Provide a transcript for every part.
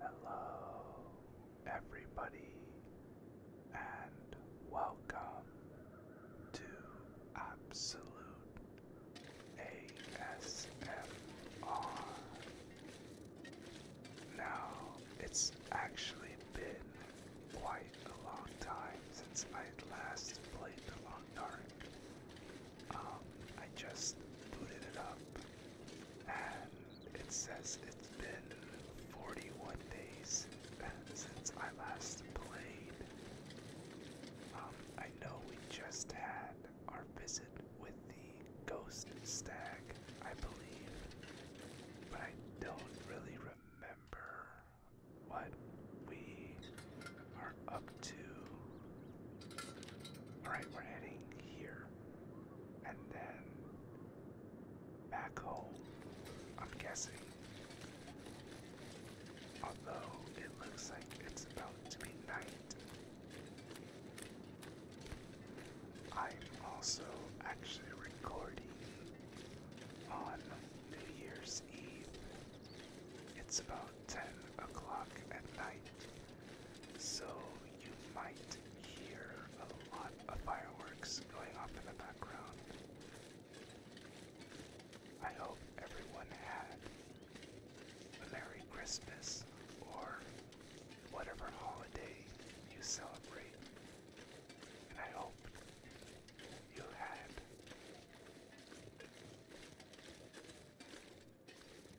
Hello, everybody, and welcome to Absolute ASMR. Now, it's actually been quite a long time since I last played The Long Dark. Um, I just booted it up and it says it's been 41 days since I last played. Um, I know we just had our visit with the ghost stag, I believe, but I don't really remember what we are up to. Alright, we're heading here. And then back home, I'm guessing. Although it looks like it's about to be night. I'm also actually recording on New Year's Eve. It's about 10 o'clock at night, so you might hear a lot of fireworks going off in the background. I hope everyone had a Merry Christmas or whatever holiday you celebrate. And I hope you had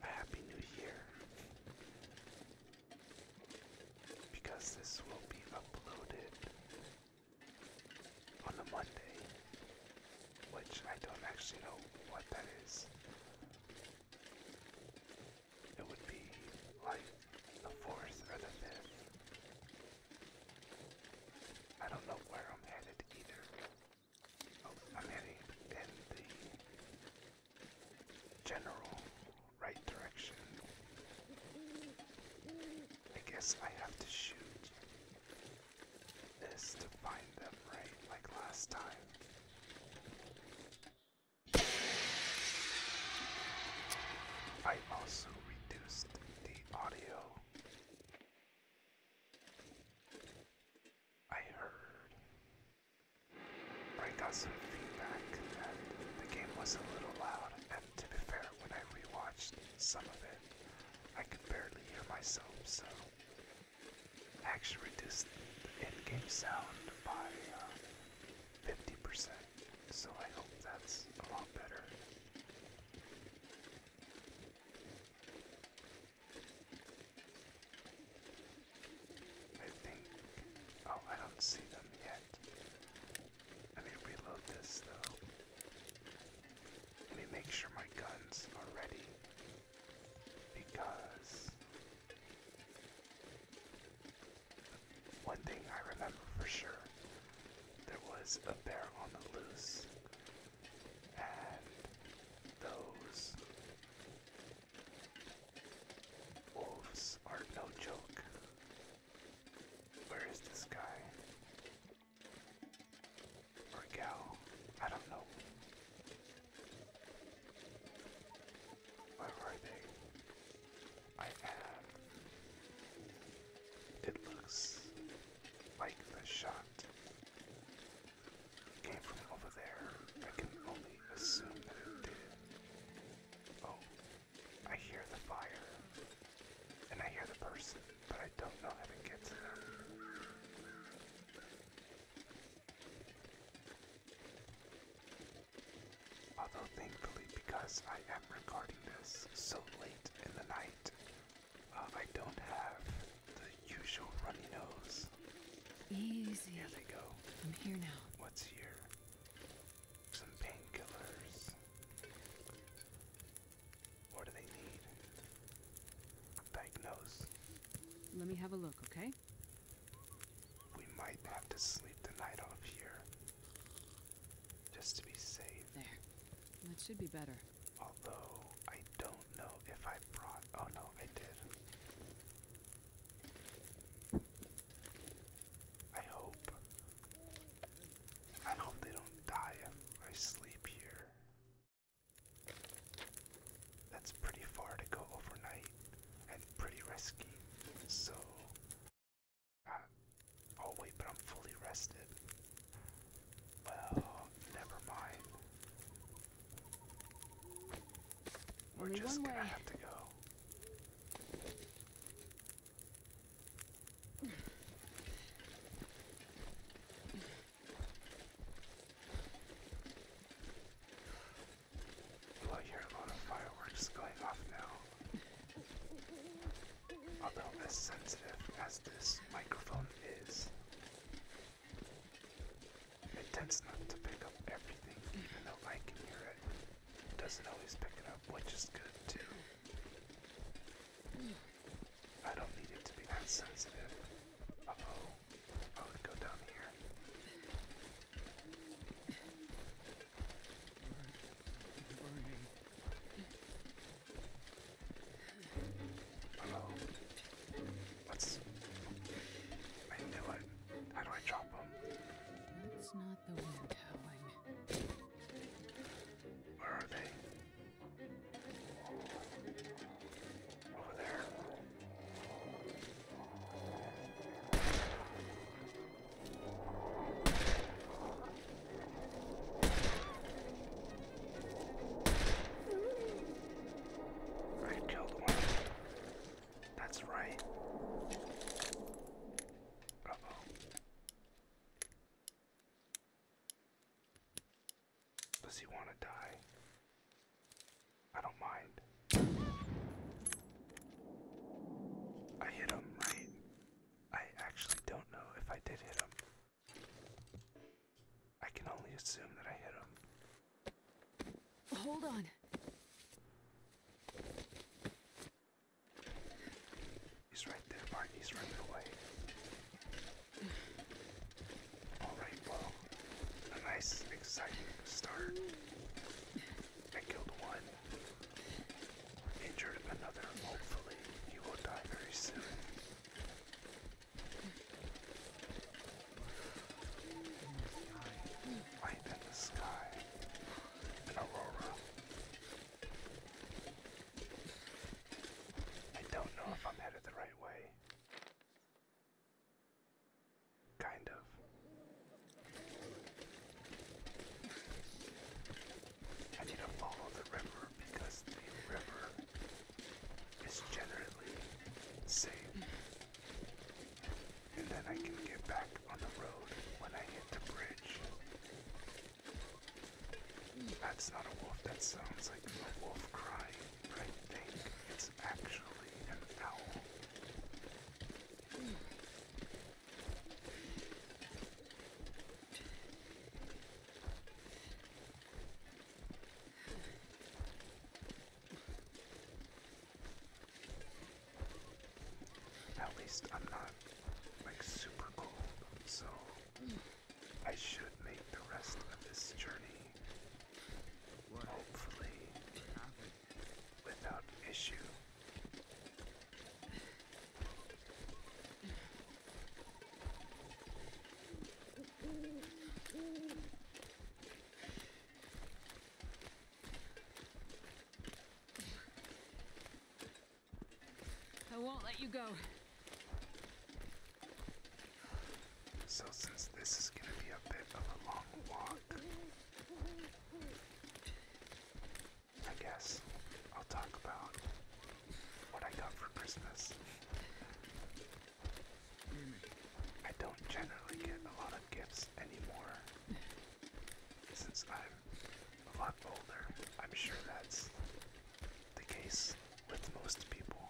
a happy new year because this will be uploaded on a Monday, which I don't actually know what that is. It would be like the 4th or the 5th. I don't know where I'm headed either. Oh, I'm heading in the general right direction. I guess I have to shoot this to find them right like last time. I also reduced the audio I heard, I got some feedback that the game was a little loud, and to be fair, when I rewatched some of it, I could barely hear myself, so I actually reduced the in-game sound by 50%, uh, so I hope that's a lot better. I think. Oh, I don't see them yet. Let me reload this though. Let me make sure my guns are ready. Because. One thing I remember for sure there was a bear on the loose and those wolves are no joke. Where is this guy? Or gal? I don't know. Where are they? I am. It looks like the shot came from over there. I can only assume that it did. Oh, I hear the fire. And I hear the person, but I don't know how to get to Although thankfully because I am recording this so late in the night, I don't have the usual runny nose. Easy. Here they go. I'm here now. What's here? Some painkillers. What do they need? Diagnose. Let me have a look, okay? We might have to sleep the night off here. Just to be safe. There. That should be better. Although I don't know if I brought. Oh no, I did. I hope. I hope they don't die if I sleep here. That's pretty far to go overnight and pretty risky. So. Uh, oh wait, but I'm fully rested. Well, never mind. We're just gonna have to go. Well, I hear a lot of fireworks going off now. Although, as sensitive as this microphone is, it tends not to pick up everything, even though I can hear it. It doesn't always pick it up, which is good too. I don't need it to be that sensitive. Uh oh. I would go down here. Burning. Burning. Oh. I knew it. How do I drop him? That's not the wind howling. Where are they? Over there. I killed one. That's right. Uh oh. Does he want to die? I don't mind. I hit him, right? I actually don't know if I did hit him. I can only assume that I hit him. Hold on. He's right there, Bart. He's running away. Alright, well, a nice, exciting start. I killed one. Injured another, hopefully. He will die very soon. Light in the sky. An aurora. I don't know if I'm headed the right way. Kind of. I need to follow the river because the river is generally safe. And then I can get back on the road when I hit the bridge. That's not a wolf, that sounds like a wolf crying, I think it's actually an owl. At least I'm not like super cold, so I should make the rest of this journey hopefully without issue. I won't let you go. So since this is going to be a bit of a long walk, I guess I'll talk about what I got for Christmas. I don't generally get a lot of gifts anymore. Since I'm a lot older, I'm sure that's the case with most people.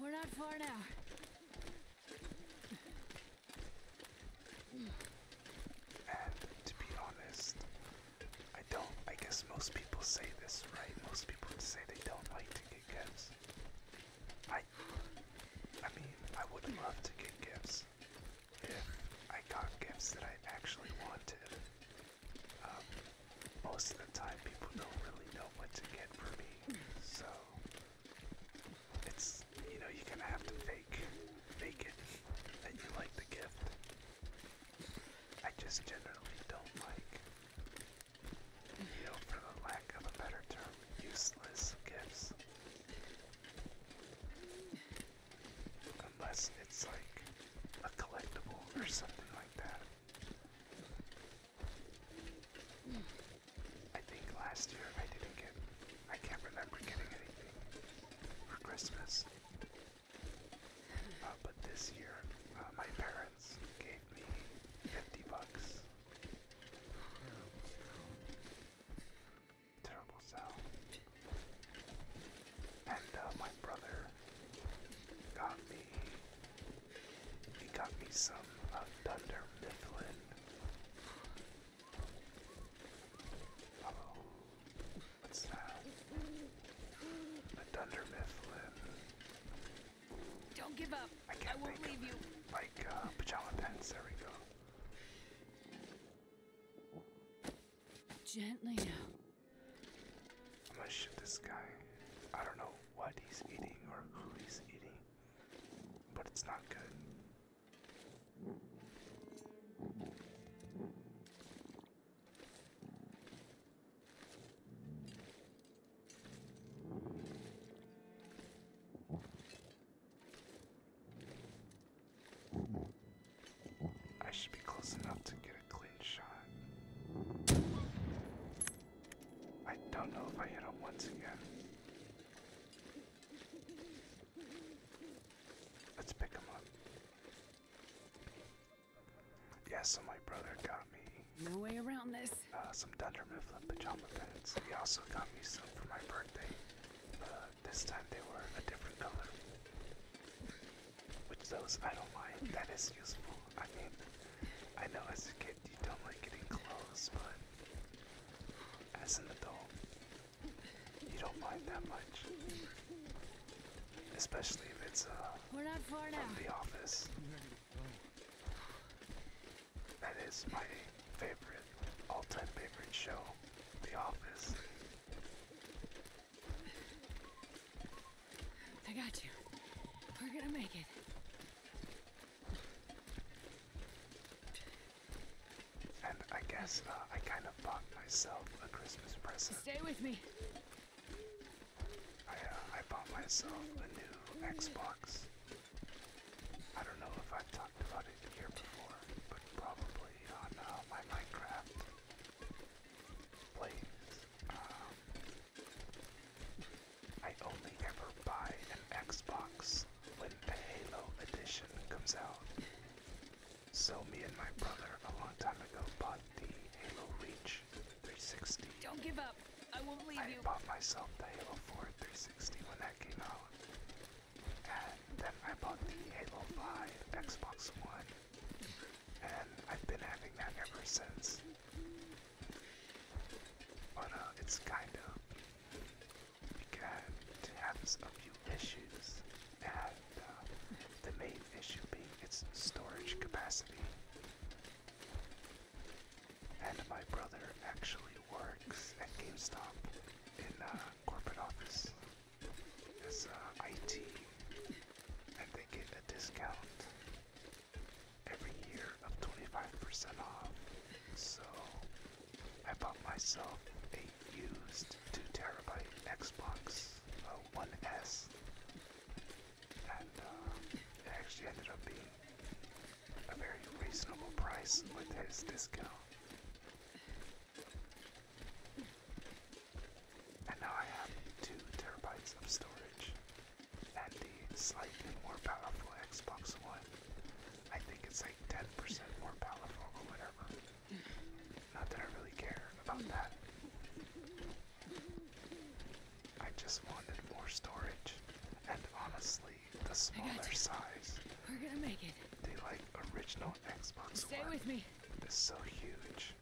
We're not far now. And to be honest, I don't, I guess most people say this, right? Most people say they don't like to get gifts. I, I mean, I would love to get gifts if I got gifts that I actually wanted. Um, most of the time people don't really know what to get for me, so it's, you know, you're gonna have to fake, fake it that you like the gift. I just generally don't like, you know, for the lack of a better term, useless gifts. Unless it's like a collectible or something like that. I think last year I didn't get, I can't remember getting anything for Christmas. Uh, but this year, uh, my parents gave me 50 bucks. Terrible sound. And uh, my brother got me. He got me some of Thunder Mifflin. What's that? A thunder mifflin. Don't give up. I, won't leave you. Like uh, pajama pants. There we go. Gently now. I'm gonna shoot this guy. I don't know what he's eating or who he's eating, but it's not good. I should be close enough to get a clean shot. I don't know if I hit him once again. Let's pick him up. Yes, so my brother got me. No way around this. Uh, some Dunder Mifflin pajama pants. He also got me some for my birthday. this time they were a different color. Which those I don't mind. That is useful. I mean, I know as a kid you don't like getting clothes, but as an adult, you don't mind that much. Especially if it's uh, We're not far from the office. That is my favorite, all-time favorite show, The Office. I got you. We're gonna make it. And I guess uh, I kind of bought myself a Christmas present. Stay with me. Uh, I, bought myself a new Xbox. I don't know if I've talked about it here before, but probably on uh, my Minecraft plays. Um, I only ever buy an Xbox when the Halo edition comes out. So me and my brother a long time ago bought the Halo Reach 360. Don't give up. I won't leave you. I bought myself the Halo 4 360 when that came out. And then I bought the Halo 5 Xbox One. And I've been having that ever since. But uh, it's kind of began to have few issues the main issue being its storage capacity. And my brother actually works at GameStop in uh, corporate office as uh, IT, and they give a discount every year of 25% off. So I bought myself a used 2 terabyte Xbox uh, One S and um, it actually ended up being a very reasonable price with his discount. And now I have 2 terabytes of storage and the slightly more powerful Xbox One. I think it's like 10% more powerful or whatever. Not that I really care about that. I just wanted more storage, and honestly, the smaller size. We're gonna make it. They like original Xbox Stay with me. is so huge.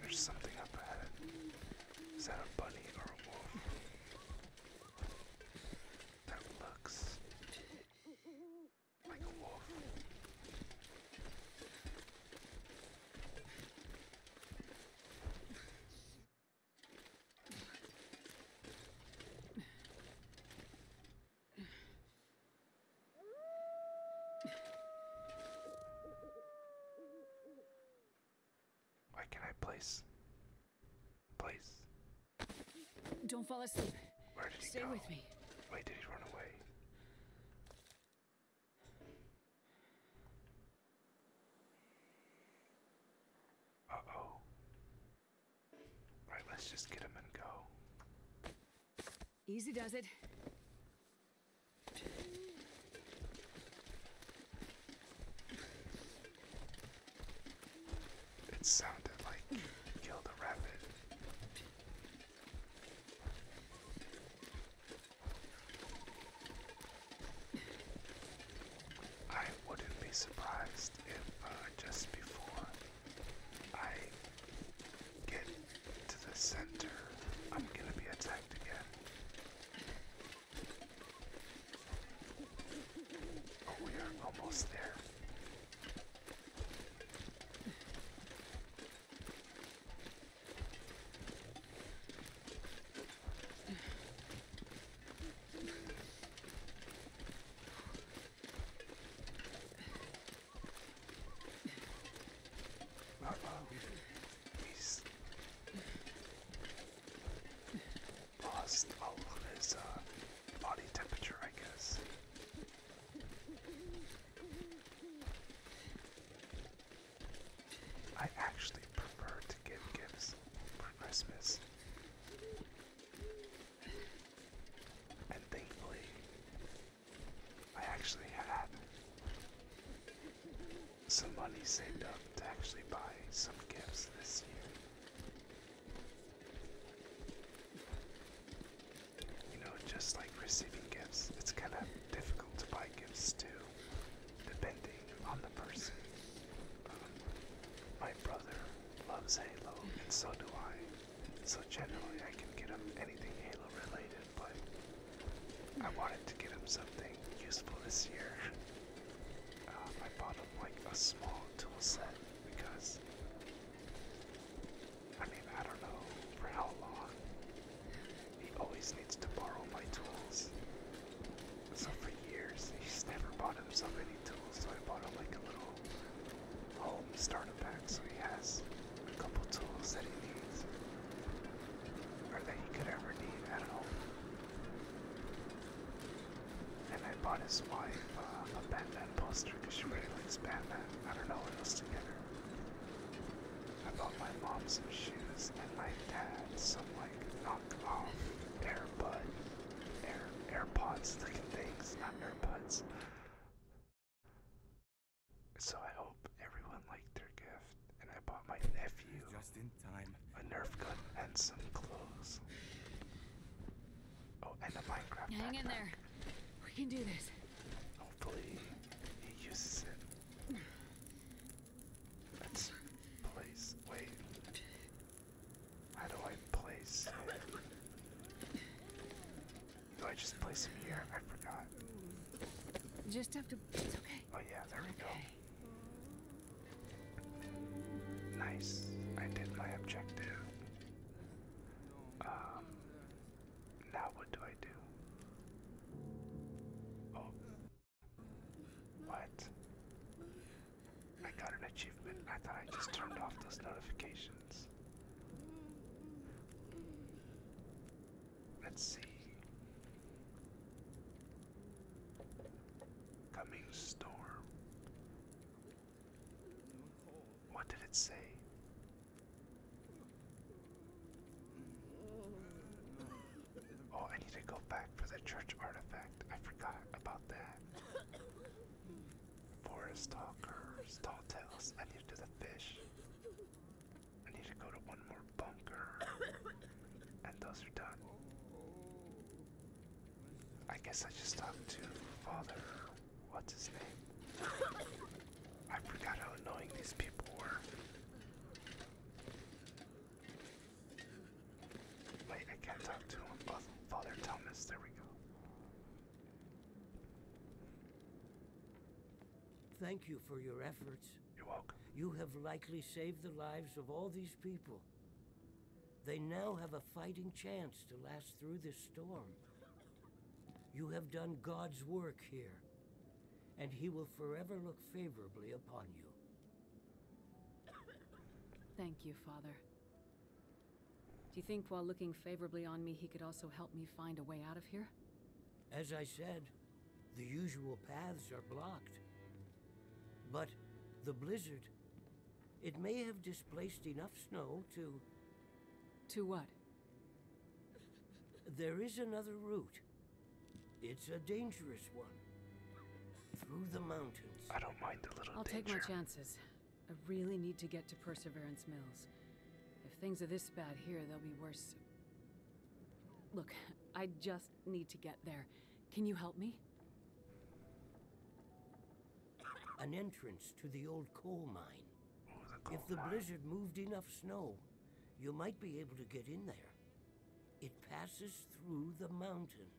There's something up ahead. Is that a bunny or a wolf? That looks like a wolf. Why can not I place? Place. Don't fall asleep. Where did he Stay with me. Wait, did he run away? Uh oh. Right, let's just get him and go. Easy does it. It sounded like you killed rabbit. I wouldn't be surprised if uh, just before I get to the center, I'm gonna be attacked again. Oh, we are almost there. Uh -oh. He's lost all of his uh, body temperature, I guess. I actually prefer to give gifts for Christmas. And thankfully, I actually had some money saved up to actually buy some gifts this year. You know, just like receiving gifts, it's kind of difficult to buy gifts too, depending on the person. my brother loves Halo, and so do I. So generally, I can get him anything Halo related, but I wanted to get him something useful this year. Um, ah, I bought him like a small tool set because I mean I don't know for how long. He always needs to borrow my tools. So for years he's never bought himself any tools, so I bought him like a little home starter pack so he has a couple tools that he needs. Or that he could ever need at home. And I bought his wife uh, a Batman poster because she really likes Batman. I don't know what else to get her. I bought my mom some shoes and my dad some like knockoff AirPod, Air AirPods looking things, not AirPods. So I hope everyone liked their gift and I bought my nephew just in time. a Nerf gun and some clothes. Oh, and a Minecraft. hang in there. We can do this. Hopefully, he uses it. Let's place. Wait. How do I place it? Do I just place him here? I forgot. Just have to. It's okay. Oh yeah, there we go. Nice. I did my objective. Um, now what do I do? Oh. What? I got an achievement. I thought I just turned off those notifications. Let's see coming storm. What did it say? Oh, I need to go back for the church artifact. I forgot about that. Forest talkers, tall tales. I need to do the fish. I need to go to one more bunker. And those are done. I guess I just talked to Father. What's his name? I forgot how annoying these people were. Wait, I can talk to him. Oh, Father Thomas, there we go. Thank you for your efforts. You're welcome. You have likely saved the lives of all these people. They now have a fighting chance to last through this storm. You have done God's work here, and He will forever look favorably upon you. Thank you, Father. Do you think while looking favorably on me, he could also help me find a way out of here? As I said, the usual paths are blocked. But the blizzard, it may have displaced enough snow to... To what? There is another route. It's a dangerous one. Through the mountains. I don't mind the little I'll danger. take my chances. I really need to get to Perseverance Mills. If things are this bad here, they'll be worse. Look, I just need to get there. Can you help me? An entrance to the old coal mine. Oh, if the blizzard moved enough snow, you might be able to get in there. It passes through the mountain.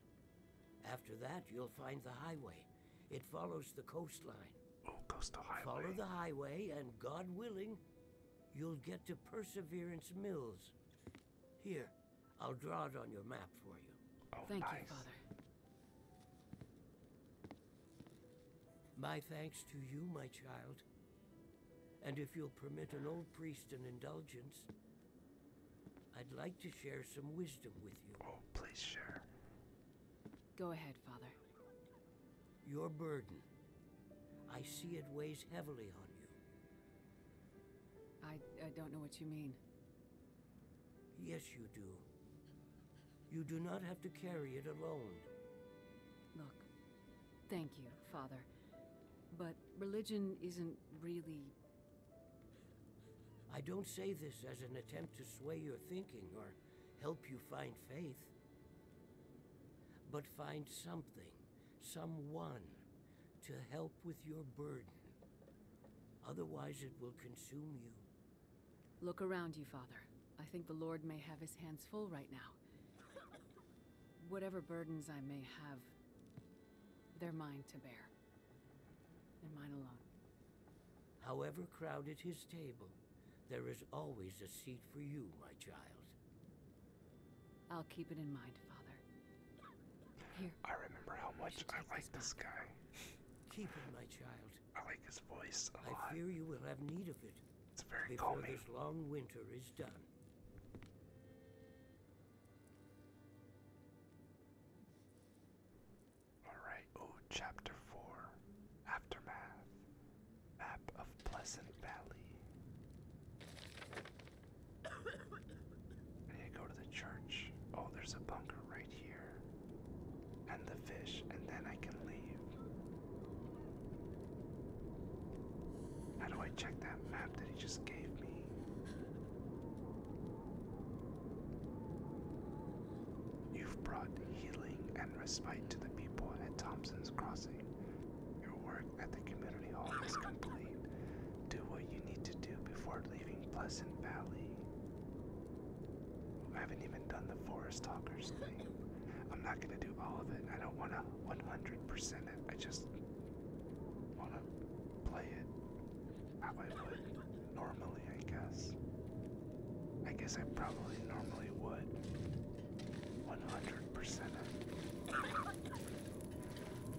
After that, you'll find the highway. It follows the coastline. Oh, coastal highway. Follow the highway, and God willing, you'll get to Perseverance Mills. Here, I'll draw it on your map for you. Oh, Thank you, Father. My thanks to you, my child. And if you'll permit an old priest an indulgence, I'd like to share some wisdom with you. Oh, please share. Go ahead, Father. Your burden, I see it weighs heavily on you. I, don't know what you mean. Yes, you do. You do not have to carry it alone. Look, thank you, Father. But religion isn't really... I don't say this as an attempt to sway your thinking or help you find faith. But find something someone to help with your burden. Otherwise, it will consume you. Look around you, Father. I think the Lord may have his hands full right now. Whatever burdens I may have, they're mine to bear. And mine alone. However crowded his table, there is always a seat for you, my child. I'll keep it in mind, Father. Here. I remember how much I, I like this guy. Keep it, my child. I like his voice a I lot. I fear you will have need of it. before this long winter is done. Alright, oh, chapter 4. Aftermath. Map of Pleasant Valley. I go to the church. Oh, there's a bunker right here. And the fish, and then I can leave. How do I check that map that he just gave me? You've brought healing and respite to the people at Thompson's Crossing. Your work at the community hall is complete. Do what you need to do before leaving Pleasant Valley. I haven't even done the Forest Talkers thing. I'm not gonna do all of it. I don't wanna 100% it. I just wanna play it how I would normally, I guess. I guess I probably normally would 100% it.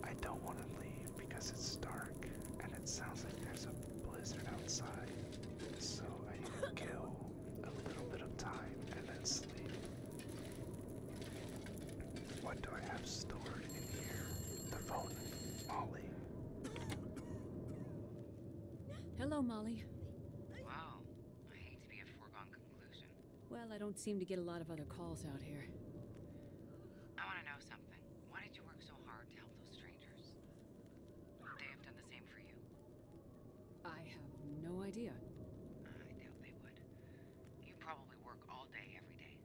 I don't wanna leave because it's dark and it sounds like there's a blizzard outside. So I need to kill a little bit of time and then sleep. What do I have stored in here? The phone. Molly. Hello, Molly. Wow. I hate to be a foregone conclusion. Well, I don't seem to get a lot of other calls out here. I want to know something. Why did you work so hard to help those strangers? they have done the same for you? I have no idea. I doubt they would. You probably work all day, every day.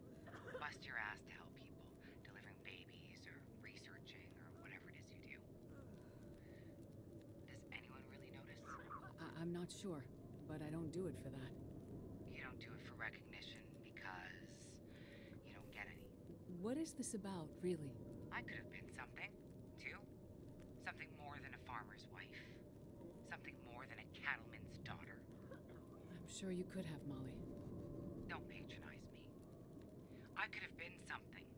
Bust your ass to help people, delivering babies or researching or whatever it is you do. Does anyone really notice? I am not sure, but I don't do it for that. You don't do it for recognition because what is this about, really? I could have been something, too. Something more than a farmer's wife. Something more than a cattleman's daughter. I'm sure you could have, Molly. Don't patronize me. I could have been something.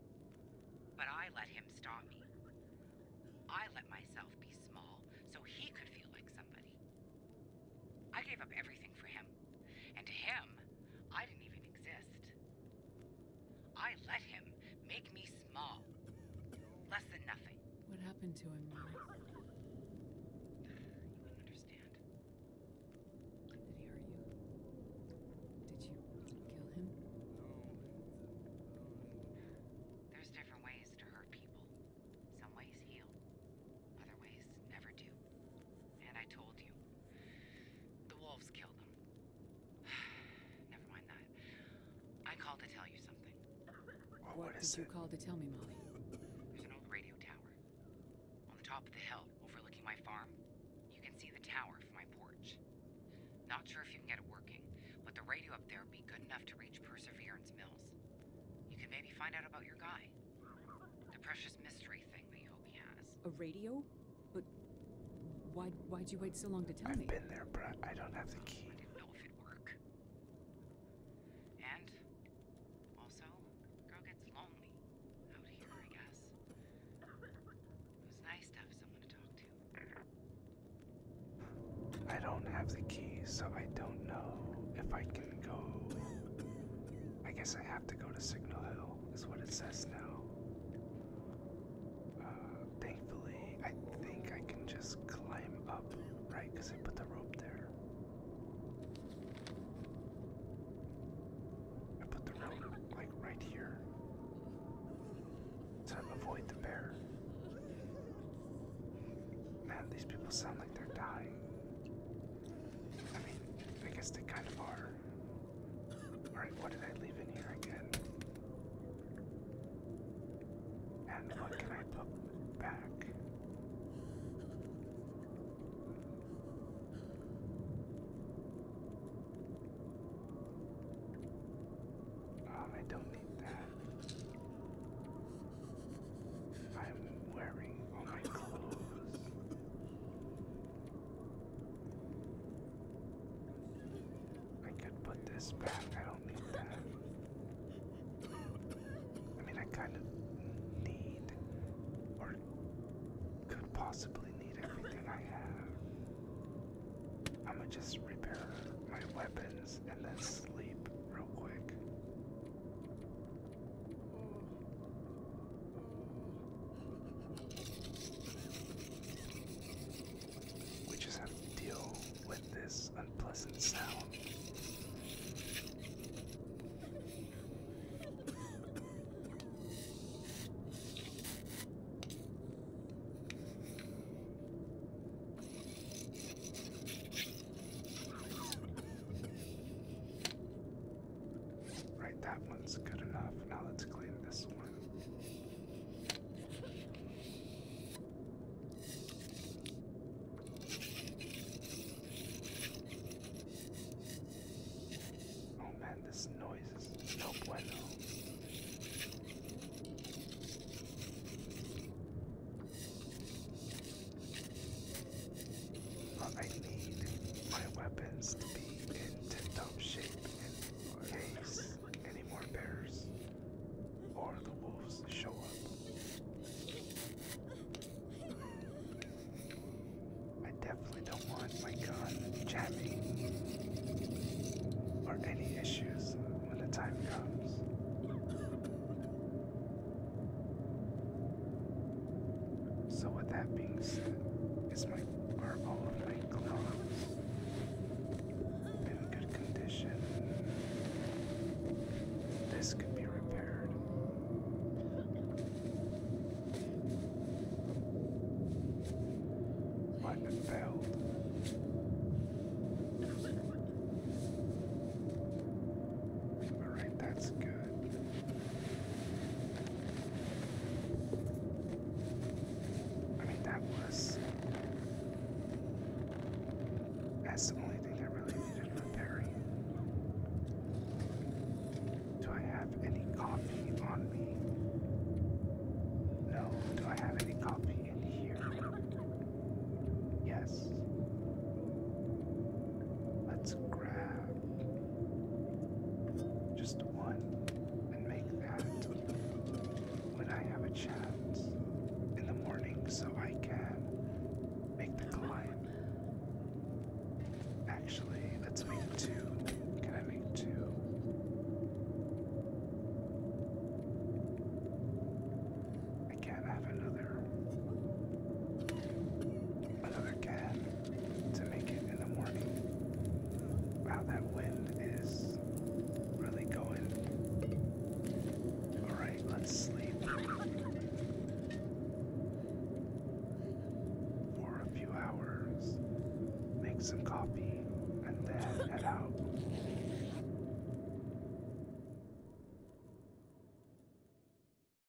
But I let him stop me. I let myself be small so he could feel like somebody. I gave up everything for him. And to him, I didn't even exist. I let him make me small. Less than nothing. What happened to him, You wouldn't understand. Did he hurt you? Did you kill him? No. There's different ways to hurt people. Some ways heal, other ways never do. And I told you, the wolves killed them. never mind that. I called to tell you something. What, what did you called to tell me, Molly? There's an old radio tower. On the top of the hill, overlooking my farm, you can see the tower from my porch. Not sure if you can get it working, but the radio up there would be good enough to reach Perseverance Mills. You can maybe find out about your guy. The precious mystery thing that Yogi has. A radio? But why why'd you wait so long to tell me? I've been there, but I don't have the key. I didn't know if it'd work. And also, girl gets lonely out here, I guess. It was nice to have someone to talk to. I don't have the key, so I don't know if I can go. I guess I have to go to Signal Hill, is what it says now. Uh, thankfully, I think I can just climb up, right? Because I put the rope there. I put the rope, like, right here. So avoid the bear. Man, these people sound they're dying. I mean, I guess they kind of are. Alright, what did I leave in here again? And what can I put back? Um, I don't need that. I'm wearing all my clothes. I could put this back, I don't need that. I mean, I kind of need, or could possibly need everything I have. I'm gonna just repair my weapons and then sleep real quick. We just have to deal with this unpleasant sound. Right, that one's good enough. Now let's clean this one. Oh man, this noise is no bueno. I need my weapons to be in tip-top shape in case any more bears or the wolves show up. I definitely don't want my gun jamming or any issues when the time comes. So with that being said, is my are all of my clothes in good condition? This could be repaired. What failed? Alright, that's good. I mean, that was. That's the only thing that really needed repairing. Do I have any coffee on me? No. Do I have any coffee in here? Yes. Let's grab just one, and make that when I have a chance in the morning so I can make the climb. Actually, let's make two. Can I make two? I can't have another another cab to make it in the morning. Wow, that wind is really going. Alright, let's sleep for a few hours, make some coffee, and then head out.